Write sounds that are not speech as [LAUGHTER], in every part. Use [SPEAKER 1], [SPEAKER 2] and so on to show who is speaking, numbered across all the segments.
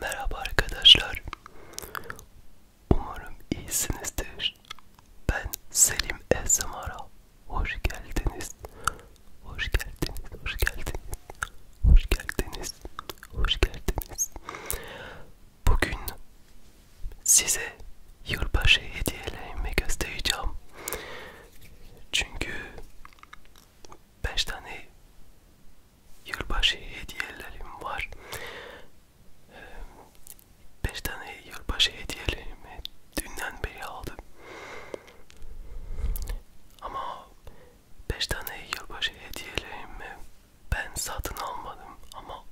[SPEAKER 1] Merhaba arkadaşlar. Umarım iyisinizdir. Ben Selim Esmara. Hoş geldiniz. Hoş geldiniz. Hoş geldiniz. Hoş geldiniz. Hoş geldiniz. Bugün size yılbaşı hediyelerimi göstereceğim. Çünkü 5 tane yılbaşı hediyelerim var. 5 ee, tane yılbaşı hediyelerimi dünden beri aldım. Ama 5 tane yılbaşı hediyelerimi ben satın almadım ama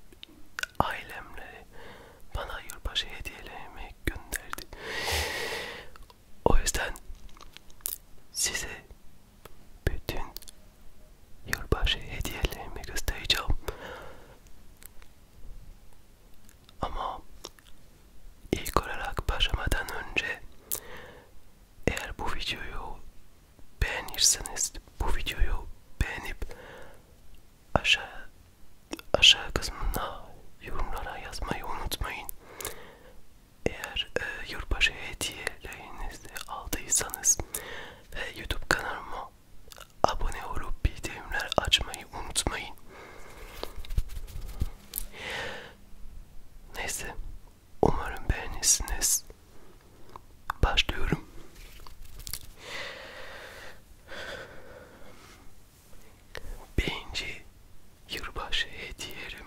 [SPEAKER 1] ailemleri bana yılbaşı hediyelerimi gönderdi. O yüzden size bütün yılbaşı hediyelerimi göstereceğim. Ama ilk olarak başlamadan önce eğer bu videoyu beğenirseniz bu videoyu beğenip aşağı aşağı kısmına yorumlara yazmayı unutmayın. Eğer e, yurtbaşı hediyelerinizi aldıysanız ve YouTube kanalıma abone olup bildirimler açmayı unutmayın. Neyse, umarım beğenirsiniz. Başlıyorum. Birinci yılbaşı hediyelerim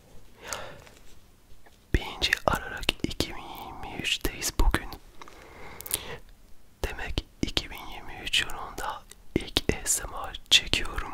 [SPEAKER 1] 1. Aralık 2023'teyiz bugün. Demek 2023 yılında ilk ASMR çekiyorum.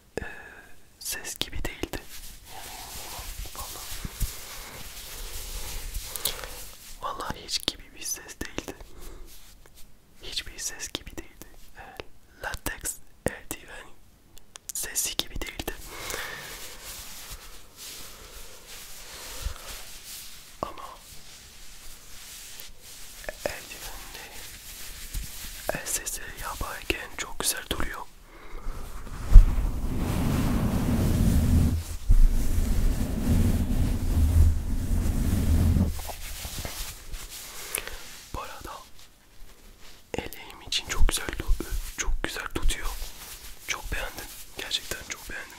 [SPEAKER 1] e, ses gibi değildi. Vallahi. Vallahi hiç gibi bir ses değildi. Hiçbir ses gibi değildi. E, latex eldiven sesi gibi değildi. Ama eldivenleri El eh, sesi yaparken çok güzel duruyor. Bu arada eleğim için çok güzel çok güzel tutuyor. Çok beğendim. Gerçekten çok beğendim.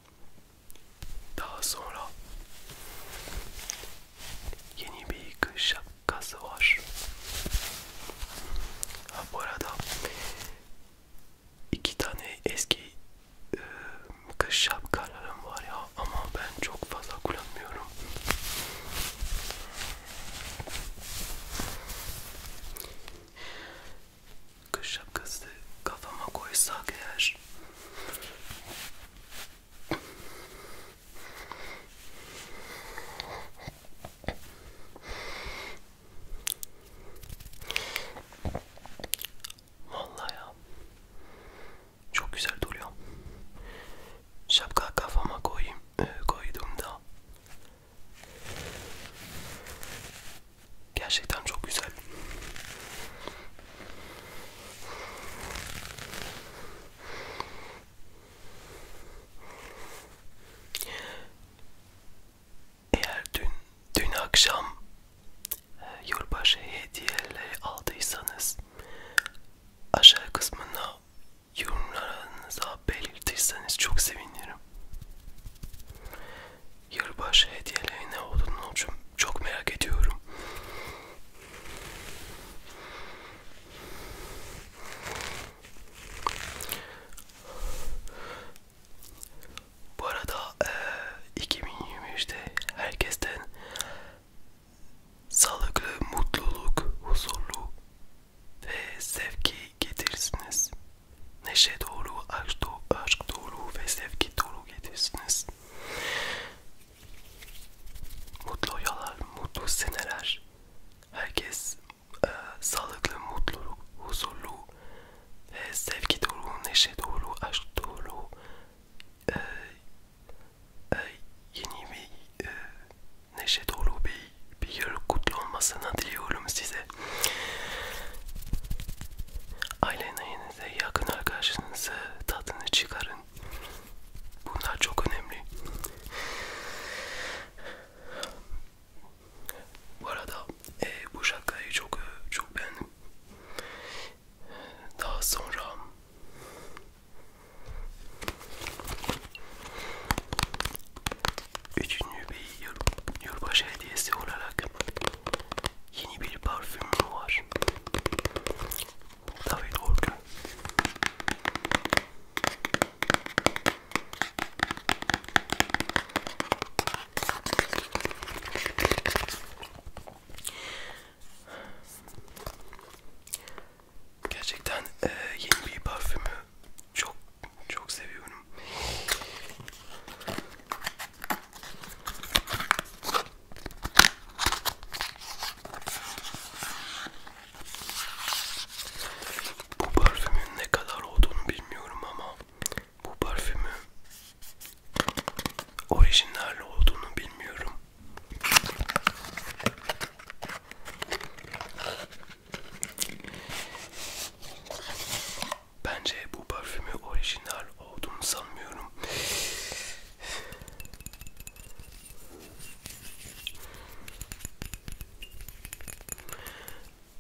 [SPEAKER 1] Daha sonra yeni bir yıkış şapkası var. Ha, bu arada iki tane eski e, kış şapkalarım var ya ama ben çok fazla kullanmıyorum. Kış şapkası kafama koysak eğer Vallahi ya. Çok güzel duruyor. Şapka kafama koyayım, e, koyduğumda gerçekten çok güzel. Eğer dün dün akşam e, yılbaşı hediyeleri aldıysanız aşağı kısmına yorumlarınıza belirtirseniz çok sevinirim yılbaşı hediyeleri ne olduğunu çok, çok merak ediyorum. Bu arada e, 2023'te herkesten sağlıklı, mutluluk, huzurlu ve sevgi getirsiniz. Neşe doğru, aşk doğru, aşk doğru ve sevgi doğru getirsiniz. Mutlu uyalar, mutlu seneler. Herkes e, sağlıklı, mutlu, huzurlu, e, sevgi dolu, neşe dolu, aşk dolu, e, e, yeni bir e, neşe dolu bir, bir yıl kutlu olmasını diliyorum size. Ailene çevrenize, yakın arkadaşınıza tadını çıkarın. Bunlar çok önemli. Bu arada e, bu şakayı çok e, çok beğendim. Daha sonra üçüncü bir yıl, yılbaşı hediyesi olarak yeni bir parfümüm var. David Orgun. Gerçekten e, yeni bir parfümü çok çok seviyorum. Bu parfümün ne kadar olduğunu bilmiyorum ama bu parfümü orijinal olduğunu bilmiyorum. Bence bu parfümü orijinal olduğunu sanmıyorum.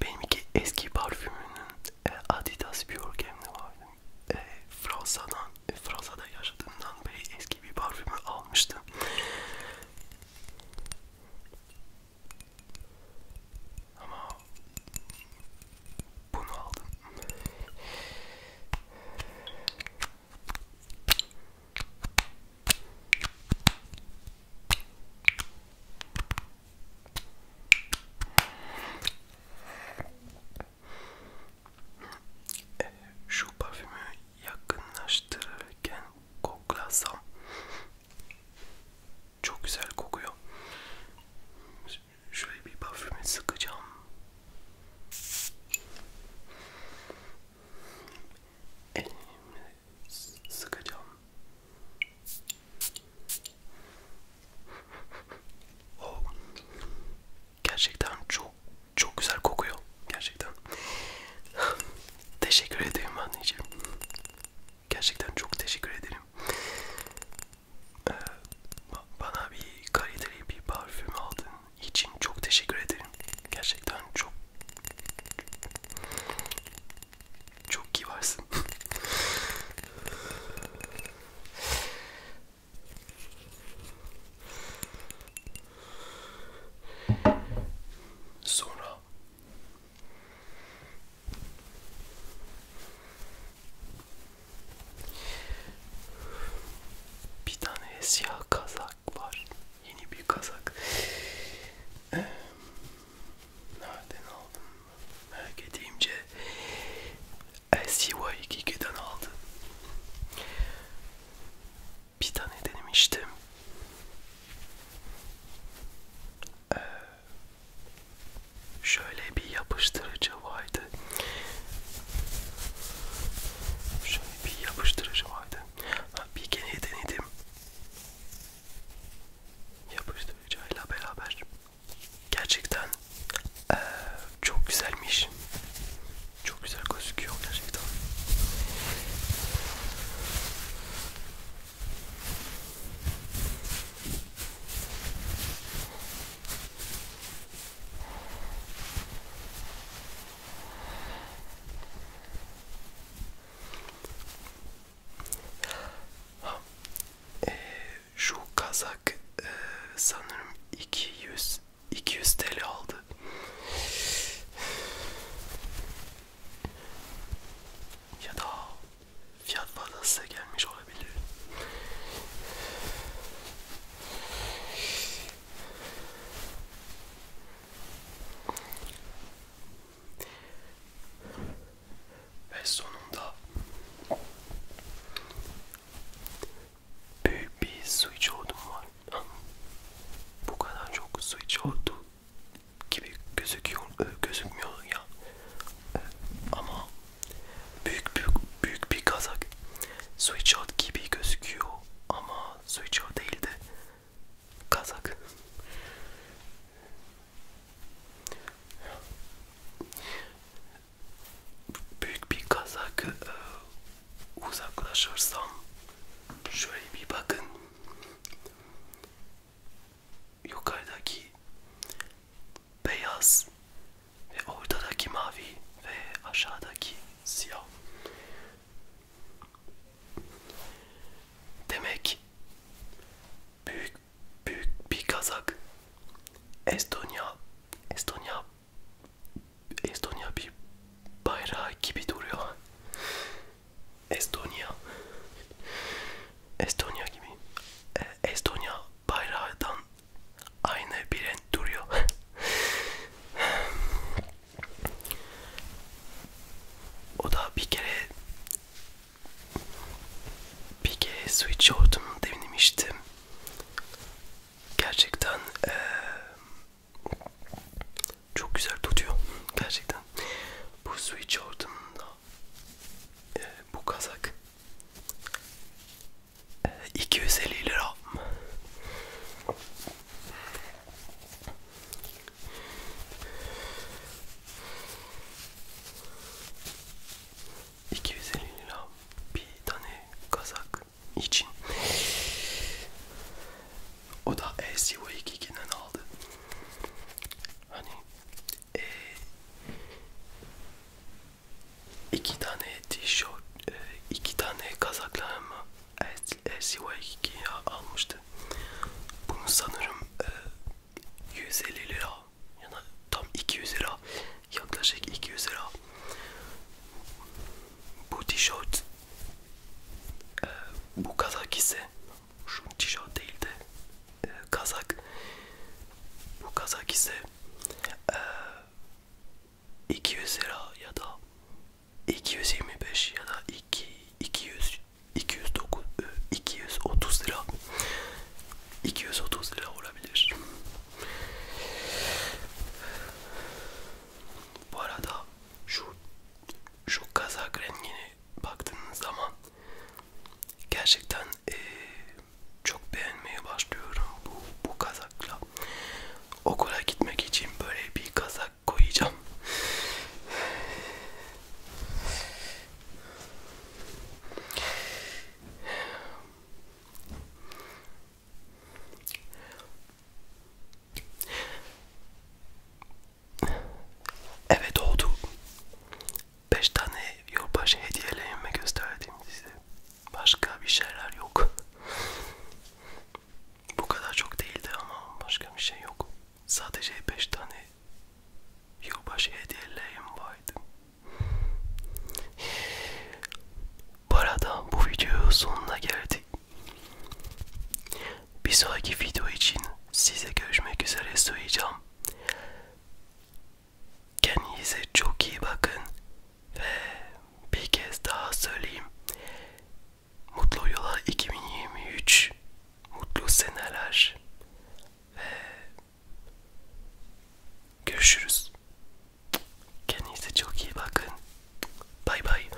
[SPEAKER 1] Benimki eski parfümünün e, Adidas Björkem'li vardı. E, Fransa'dan, e, Fransa'da yaşadığımdan beri eski bir parfümü almıştım. Ama bunu aldım. Ee, şu parfümü yakınlaştırırken koklasam çok güzel kokuyor arkadaşlar. Şöyle bir parfümü sıkacağım. Elimle sıkacağım. Oh. Gerçekten çok çok güzel kokuyor. Gerçekten. teşekkür ederim anneciğim. Gerçekten çok teşekkür ederim. Ee, bana bir kaliteli bir parfüm aldığın için çok teşekkür ederim. Gerçekten çok çok iyi varsın. [LAUGHS] Sonra bir tane siyah kazak var. Yeni bir kazak. Ee, nereden aldım? Merak edeyimce SCY2'den aldım. Bir tane denemiştim. Ee, şöyle bir yapıştırıcı vardı. Şöyle bir yapıştırıcı vardı. Ha, bir kere denedim. Yapıştırıcıyla beraber gerçekten ee, çok güzelmiş. Çok güzel gözüküyor gerçekten. Ee, şu kazak e, sanırım 200 200 TL aldı. Ya da fiyat fazla size gelmiş olabilir. Ve sonunda büyük bir su içiyordum var. Bu kadar çok su içiyordum gibi gözüküyor e, gözükmüyor ya e, ama büyük büyük büyük bir kazak sweatshirt gibi gözüküyor ama sweatshirt değil de kazak büyük bir kazak e, uzaklaşırsam şöyle bir bakın yukarıdaki beyaz ve ortadaki mavi ve aşağıdaki siyah. Demek büyük büyük bir kazak Estonya Estonya Estonya bir bayrağı gibi duruyor. Estonya Estonya gibi e, Estonya bayrağından aynı bir renk duruyor o da bir kere bir kere Switchboard'un denemiştim gerçekten e, çok güzel tutuyor gerçekten zaten. Bu Sweetshort'un da e, bu kazak e, 250 lira. İki yüz elli lira bir tane kazak için. O da SUV2'den aldı. Hani e, iki tane tişört, e, iki tane kazaklarımı LCY2'ye almıştı. Bunu sanırım e, 150 lira ya da tam 200 lira yaklaşık 200 lira. Bu tişört e, bu kazak ise şu tişört değil de e, kazak. Bu kazak ise e, 200 lira ya da 225 ya da 2 200 209 e, 230 lira. 230 lira olabilir. Bu arada şu şu kazak rengini baktığınız zaman gerçekten e, çok beğenmeye başlıyorum bu, bu kazakla. Okula gitmek için böyle bir kazak koyacağım. Eve doğdu. 5 tane yılbaşı hediyelerimi gösterdim size. Başka bir şeyler yok. Bu kadar çok değildi ama başka bir şey yok. Sadece 5 tane yılbaşı hediyelerim vardı. Bu arada bu videonun sonuna geldik. Bir sonraki video için size görüşmek üzere söyleyeceğim. Kendinize çok iyi bakın ve bir kez daha söyleyeyim. Mutlu yıllar 2023, mutlu seneler ve görüşürüz. Kendinize çok iyi bakın. Bay bay.